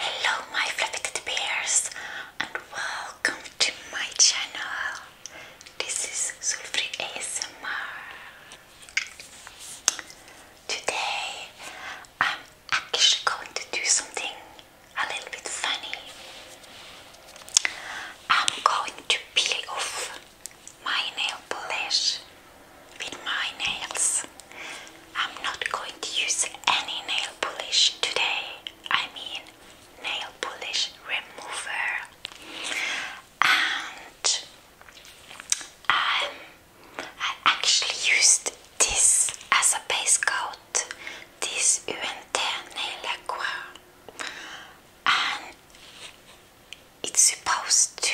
Hello my fluffy teddy bears and welcome to my channel. This is Sulfree ASMR. Today I'm actually going to do something a little bit funny. I'm going to peel off my nail polish with my nails. I'm not going to use any nail polish today. I mean nail polish remover. And um, I actually used this as a base coat, this UNT Nail lacquer, And it's supposed to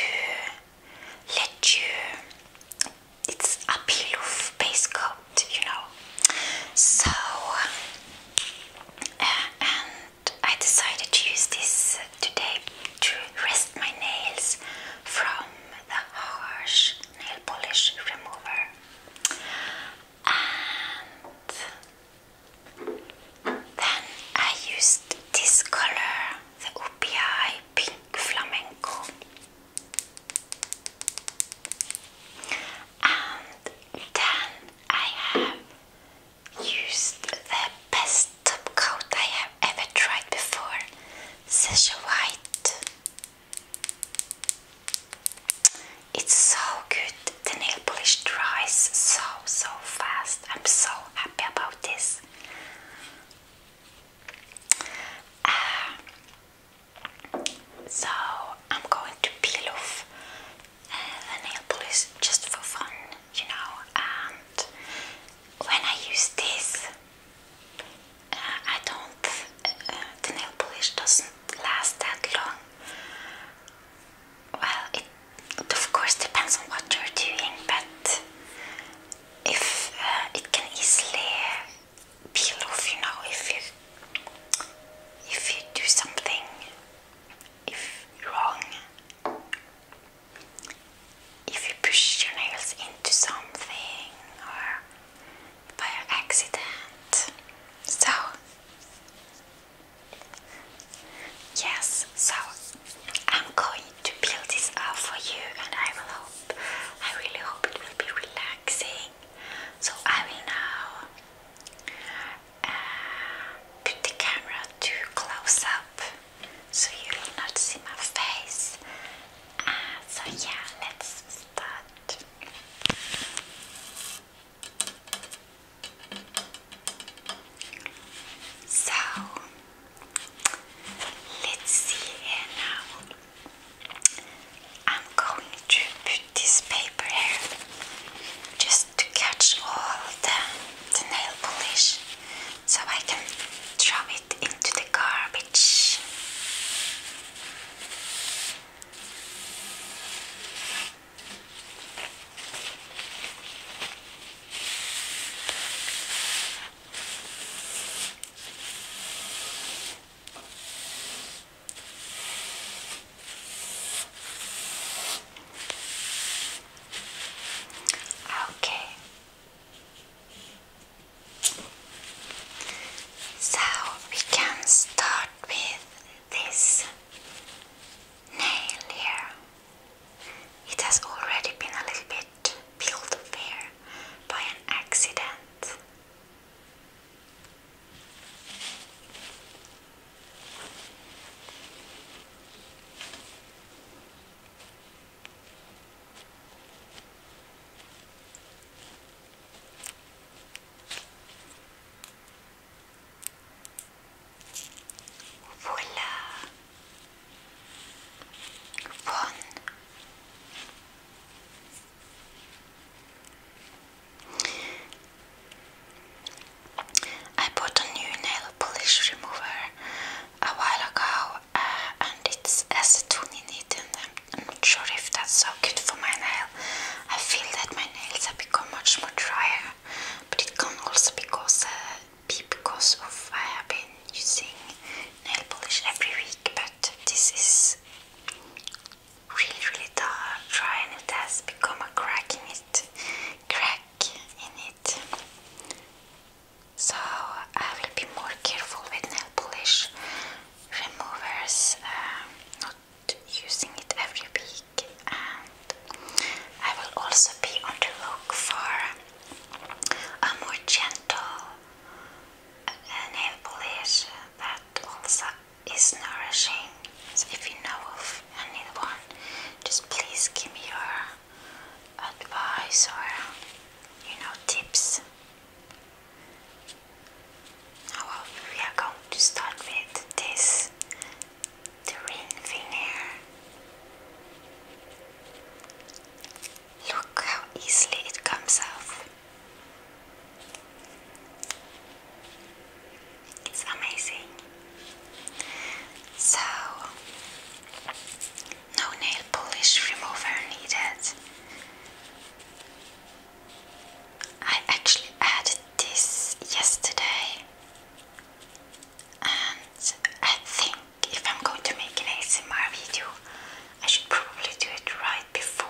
let you it's a peel-off base coat you know so uh, and I decided to use this today to rest my nails from the harsh nail polish remover and then I used this color the OPI pink flamenco and then I have used the best top coat I have ever tried before, such white. It's so good. The nail polish dries so so fast. I'm so happy about this. Um, so I'm going to peel off uh, the nail polish just for fun, you know. And when I use this, uh, I don't. Uh, the nail polish doesn't last that long. Well, it of course depends on what you're doing, but if uh, it can easily peel uh, you know, if you if you do something if wrong, if you push your nails into something or by accident. So yes, so I'm going to build this up for you and I will hope, I really hope it will be relaxing. So I will now uh, put the camera too close up so you will not see my face. Uh, so yeah, let's start. So Let's see here now. I'm going to put this paper here just to catch all the, nail polish so I can throw it into the garbage. Okay. So we can start with this nail here. It has already been a little bit it peeled fair by an accident. Voila! I bought a new nail polish remover a while ago uh, and it's acetone in it and I'm not sure if that's so good for my nail. I feel that my nails have become much more drier but it can also because uh, because of I have been using nail polish every week, but this is really really tough trying. it has become a crack in it, crack in it. So I will be more careful with nail polish removers, um, not using it every week, and I will also be on the look for a more gentle nail polish that also is nourishing. if you know of any one, just please give me your advice or you know tips. Now we are going to start with this the ring finger. Look how easily it comes off. It's amazing. So, no nail polish remover needed. I actually added this yesterday, and I think if I'm going to make an ASMR video, I should probably do it right before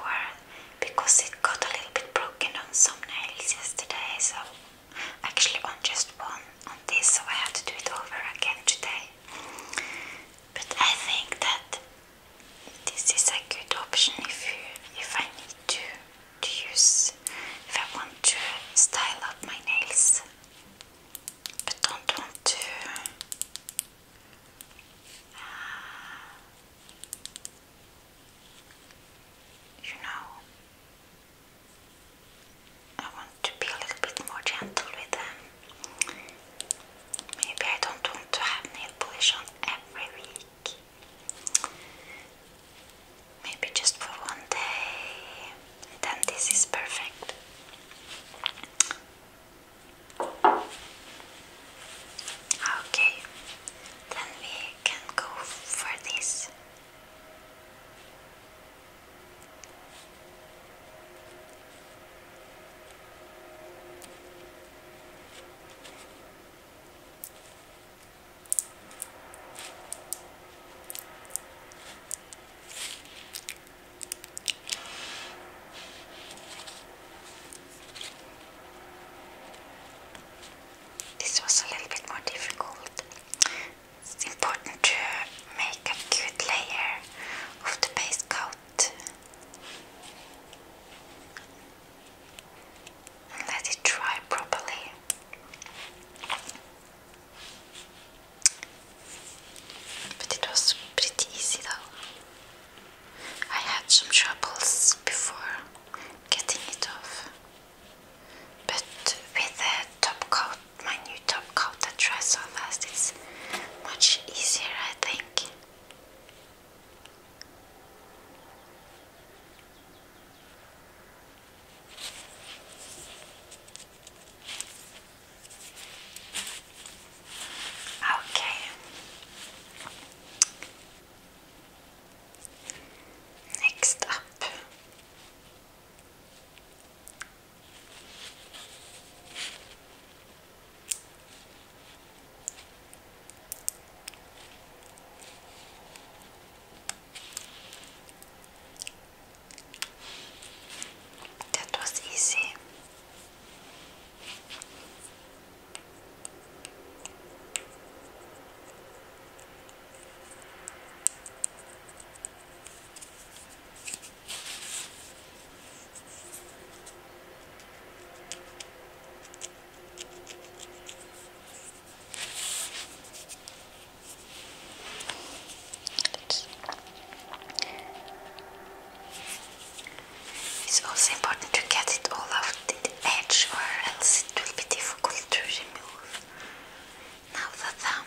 because it got a little bit broken on some nails yesterday. So, actually, on just one on this, so I had to do it over again today. But I think that this is a good option if you, if I need to use, if I want to style up my nails. I don't want to you know I want to be a little bit more gentle with them. Maybe I don't want to have nail polish on every week. Maybe just for one day then this is perfect. Okay, then we can go for this. This was a little bit more difficult. It's important to make a good layer of the base coat and let it dry properly. But it was pretty easy though. I had some troubles before getting it off. But with the top coat, my new top coat that dries so fast, it's much easier, I think. Okay. Next up. That was easy it's also important to get it all out in the edge or else it will be difficult to remove. Now the thumb.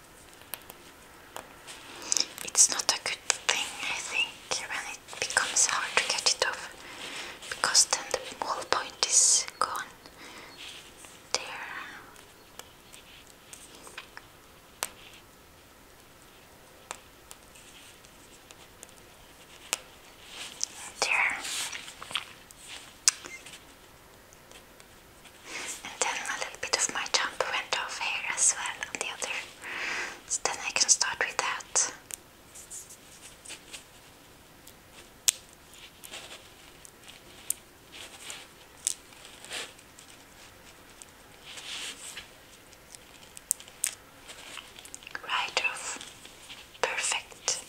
It's not a good thing, I think, when it becomes hard to get it off, because then the whole point is gone. There. There and then a little bit of my jump went off here as well on the other so then I can start with that Right off. Perfect.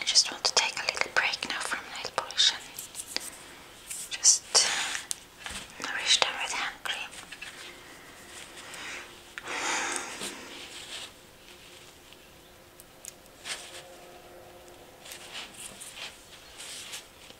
I just want to take a little break now from nail polish and just nourish uh, the with hand cream.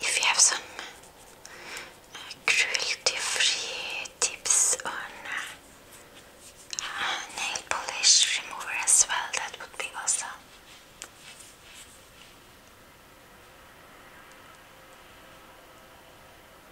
If you have some uh, cruelty-free tips on uh, nail polish remover as well, that would be awesome.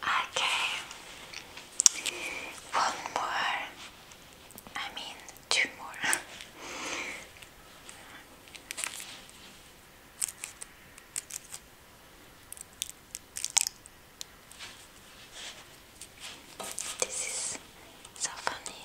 Okay. One more. I mean, two more. This is so funny.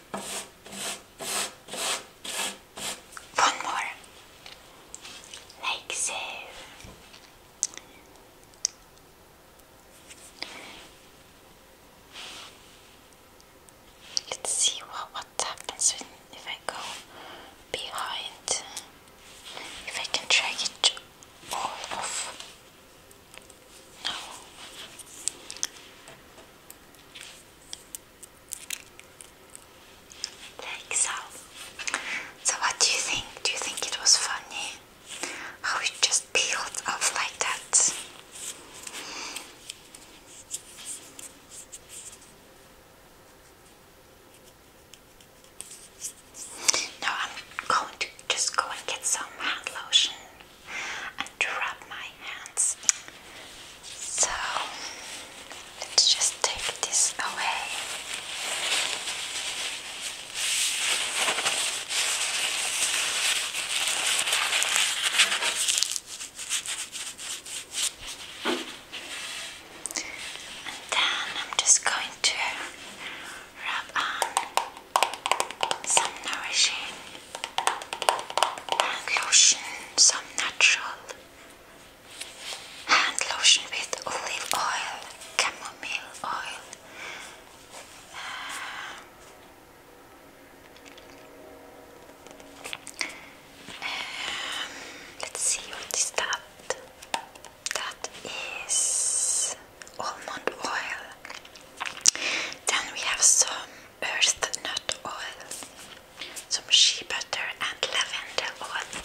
One more. Like so. Let's see what, what happens if I go behind. If I can drag it all off. Like so. So what do you think? Do you think it was funny? How it just peeled off like that? Now I'm going to just go and get some hand lotion and rub my hands. So let's just take this away. And then I'm just going to rub on some nourishing hand lotion, some natural hand lotion with olive oil, chamomile oil. Um, um, let's see what is that. That is almond oil. Then we have some earth nut oil, some shea butter and lavender oil.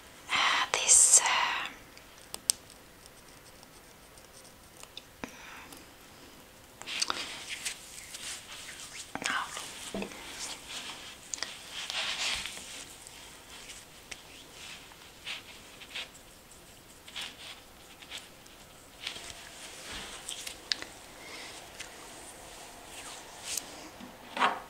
this uh,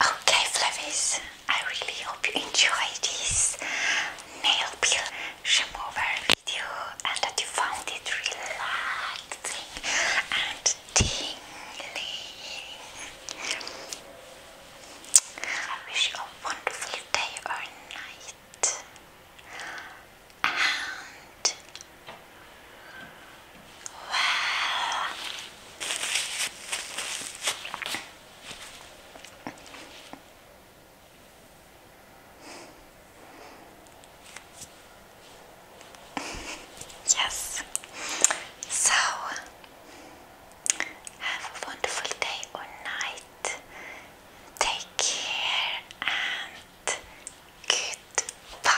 Okay, Flavies, I really hope you enjoyed this nail peel remover video and that you found it relaxing and tingling. I wish you a wonderful day or night light and well. yes. So have a wonderful day or night Take care and goodbye.